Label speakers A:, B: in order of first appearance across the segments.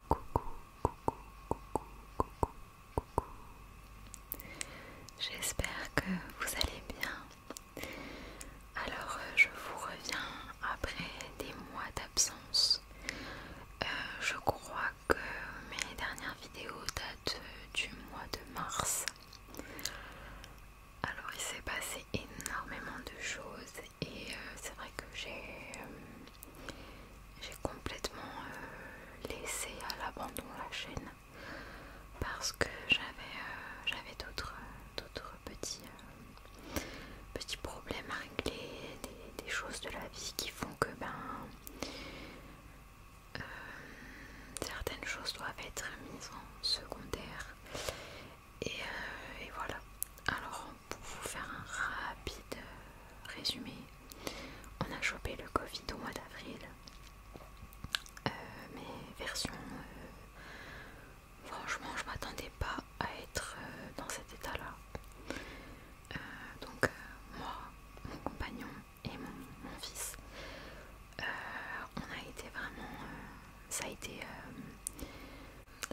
A: Coucou, coucou, coucou, coucou, coucou. J'espère que vous allez bien. Alors, euh, je vous reviens après des mois d'absence. Euh, je crois que mes dernières vidéos datent euh, du mois de mars. Alors, il s'est passé énormément de choses et euh, c'est vrai que j'ai euh, complètement euh, laissé à l'abandon la chaîne parce que j'avais d'autres petits, petits problèmes à régler, des, choses de la vie qui font que ben certaines choses doivent être mises en secondaire euh, et, voilà. Alors, pour vous faire un rapide euh, résumé, on a chopé le Covid au mois d'avril, euh, mais version. franchement, je m'attendais pas à être dans cet état-là. donc, moi, mon compagnon et mon, fils, on a été vraiment. ça a été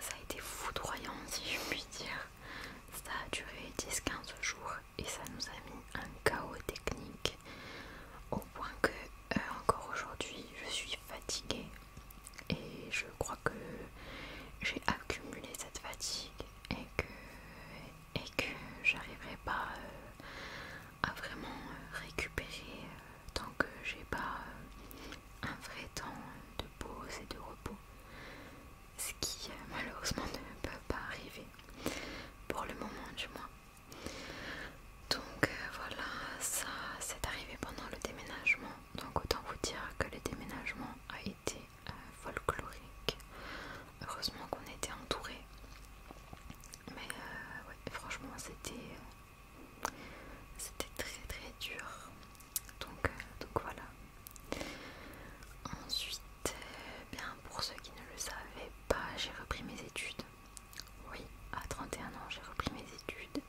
A: ça a été foudroyant si je puis dire. Ça a duré 10-15 jours et ça nous a mis un chaos technique au point que euh, encore aujourd'hui je suis fatiguée et je crois que j'ai accumulé cette fatigue et que, et que j'arriverai pas euh, à vraiment euh, récupérer tant que j'ai pas un vrai temps de pause et de repos, ce qui euh, malheureusement ne peut pas arriver, pour le moment du moins. Donc euh, voilà, ça c'est arrivé pendant le déménagement, donc autant vous dire que le déménagement a été euh, folklorique. Heureusement qu'on était entouré, mais franchement c'était... C'était très très dur. Donc, euh, voilà. Ensuite, euh, bien pour ceux qui ne le savaient pas, j'ai repris mes études. Oui, à 31 ans, j'ai repris mes études.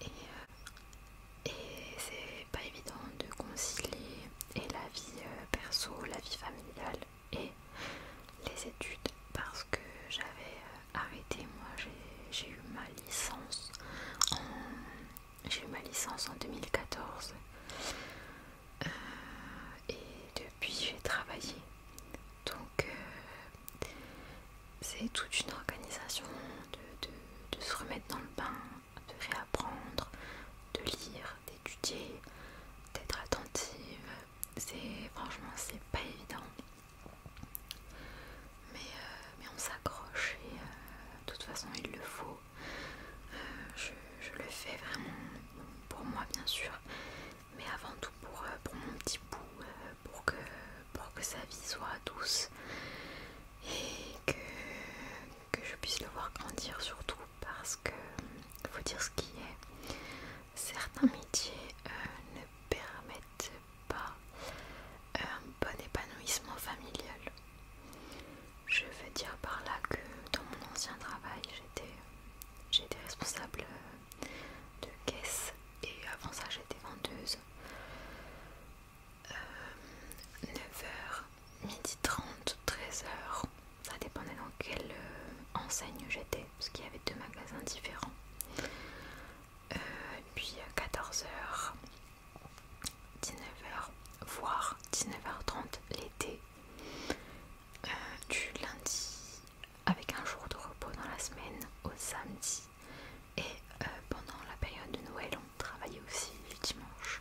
A: Et, euh, et c'est pas évident de concilier la vie perso, la vie familiale et les études parce que j'avais euh, arrêté, moi j'ai eu ma licence en j'ai eu ma licence en 2014 euh, et depuis j'ai travaillé donc euh, c'est toute une organisation de, de se remettre dans le bain, de réapprendre, de lire, d'étudier, d'être attentive. C'est franchement c'est pas évident. Mais, euh, mais on s'accroche et euh, de toute façon il le faut. Euh, je, le fais vraiment pour moi bien sûr, mais avant tout pour, pour mon petit bout, pour que, pour que sa vie soit douce et que, que je puisse le voir grandir surtout parce que faut dire ce qui est. Certains métiers euh, permettent pas un euh, bon épanouissement familial. Je veux dire par là que dans mon ancien travail, j'étais responsable euh, de caisse et avant ça j'étais vendeuse. 9h, h 30, 13h, ça dépendait dans quel, euh, enseigne j'étais, parce qu'il y avait deux magasins différents. Euh, puis 14h, 19h, voire 19h30 l'été, euh, du lundi avec un jour de repos dans la semaine au samedi. Et euh, pendant la période de Noël, on travaillait aussi le dimanche.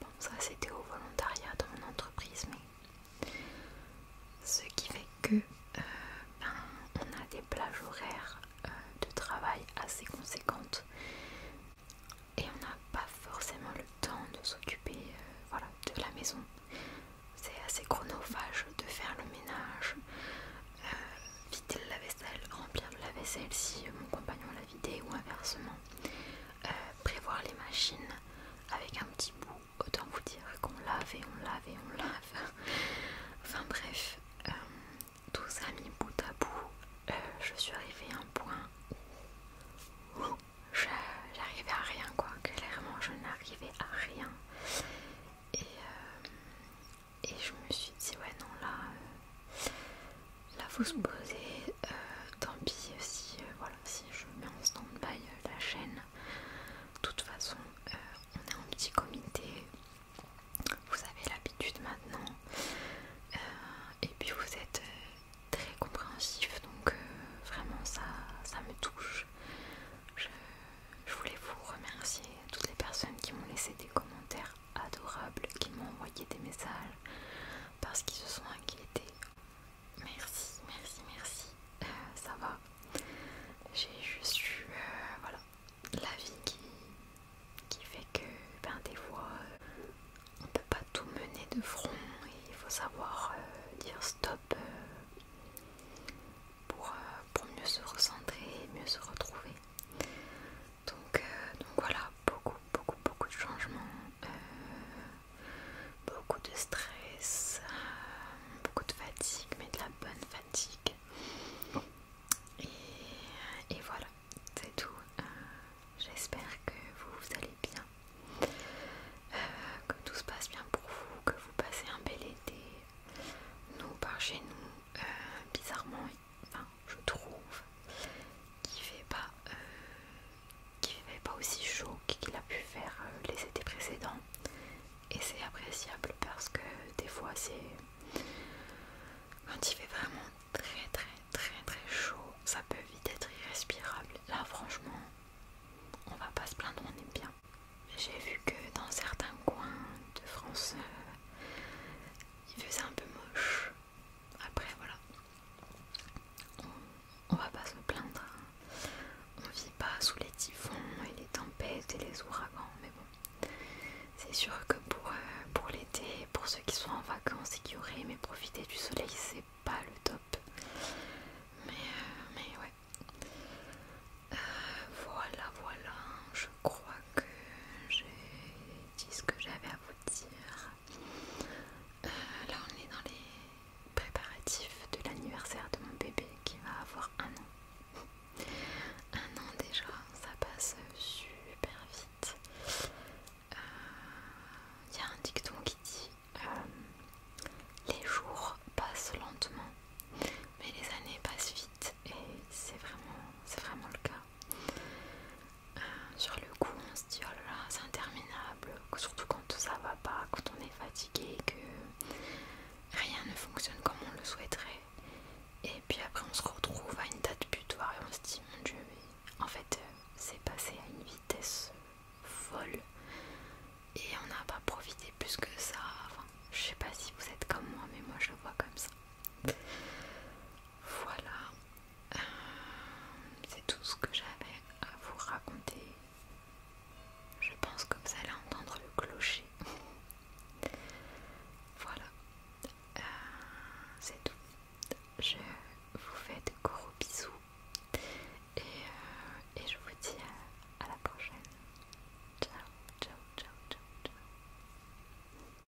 A: Bon, ça c'était au volontariat dans mon entreprise, mais ce qui fait que euh, ben, on a des plages horaires euh, de travail assez conséquentes et on n'a pas forcément le temps de s'occuper euh, de la maison. C'est assez chronophage de faire le ménage, Vider vider la vaisselle, remplir le la vaisselle si mon compagnon l'a vidé ou inversement, prévoir les machines avec un petit bout autant vous dire qu'on lave et on lave et on lave. Enfin bref, euh, tous amis, bout à bout, euh, je suis arrivée à un point où j'arrivais à rien quoi. Clairement, je n'arrivais à rien. Et, euh, je me suis dit ouais non là, là faut se poser. tant pis si je mets en stand-by euh, la chaîne. De toute façon, euh, on est en petit comité. Vous avez l'habitude maintenant. Euh, et puis vous êtes très compréhensif. Donc vraiment ça, ça me touche. je voulais vous remercier toutes les personnes qui m'ont laissé des commentaires adorables, qui m'ont envoyé des messages parce qu'ils se sont inquiétés Merci, merci, merci. Euh, ça va. J'ai juste eu euh, la vie qui, fait que ben, des fois euh, on ne peut pas tout mener de front et il faut savoir dire stop pour, pour mieux se recentrer, mieux se retrouver. Donc, donc voilà, beaucoup, beaucoup, beaucoup de changements beaucoup de stress, euh, beaucoup de fatigue, mais de la bonne fatigue. Et, voilà, c'est tout. Euh, j'espère que vous, allez bien, euh, que tout se passe bien pour vous, que vous passez un bel été. Nous, par chez nous, bizarrement, enfin, je trouve qu'il fait pas qui fait pas aussi chaud qu'il a pu faire euh, les étés précédents et c'est appréciable parce que des fois c'est quand il fait vraiment très très très très chaud ça peut vite être irrespirable là franchement on va pas se plaindre on est bien j'ai vu que dans certains coins de France euh, il faisait un peu moche après, voilà, on, va pas se plaindre. Hein. On vit pas sous les typhons et les tempêtes et les ouragans, mais bon, c'est sûr que pour, euh, pour l'été, pour ceux qui sont en vacances et qui auraient aimé profiter du soleil, c'est pas le top. Mais, euh, ouais. Euh, voilà, voilà, je crois que j'ai dit ce que j'avais à vous dire là, on est dans les préparatifs de l'anniversaire de mon bébé qui va avoir un an. un an déjà, ça passe super vite. Il euh, y a un dicton qui dit euh, Les jours passent lentement, mais les années passent vite, et c'est vraiment, vraiment le cas sur le coup on se dit oh là là c'est interminable, surtout quand ça va pas, quand on est fatigué, que rien ne fonctionne comme on le souhaiterait. Et puis après on se retrouve à une date butoir et on se dit mon dieu mais en fait euh, c'est passé à une vitesse folle et on n'a pas profité plus que ça. Enfin, je sais pas si vous êtes comme moi mais moi je le vois comme ça. Voilà, euh, c'est tout ce que j'avais à vous raconter. Je pense que vous allez entendre le clocher. voilà. Euh, c'est tout. Je vous fais de gros bisous euh, et, je vous dis à, à la prochaine. Ciao, ciao, ciao, ciao, ciao.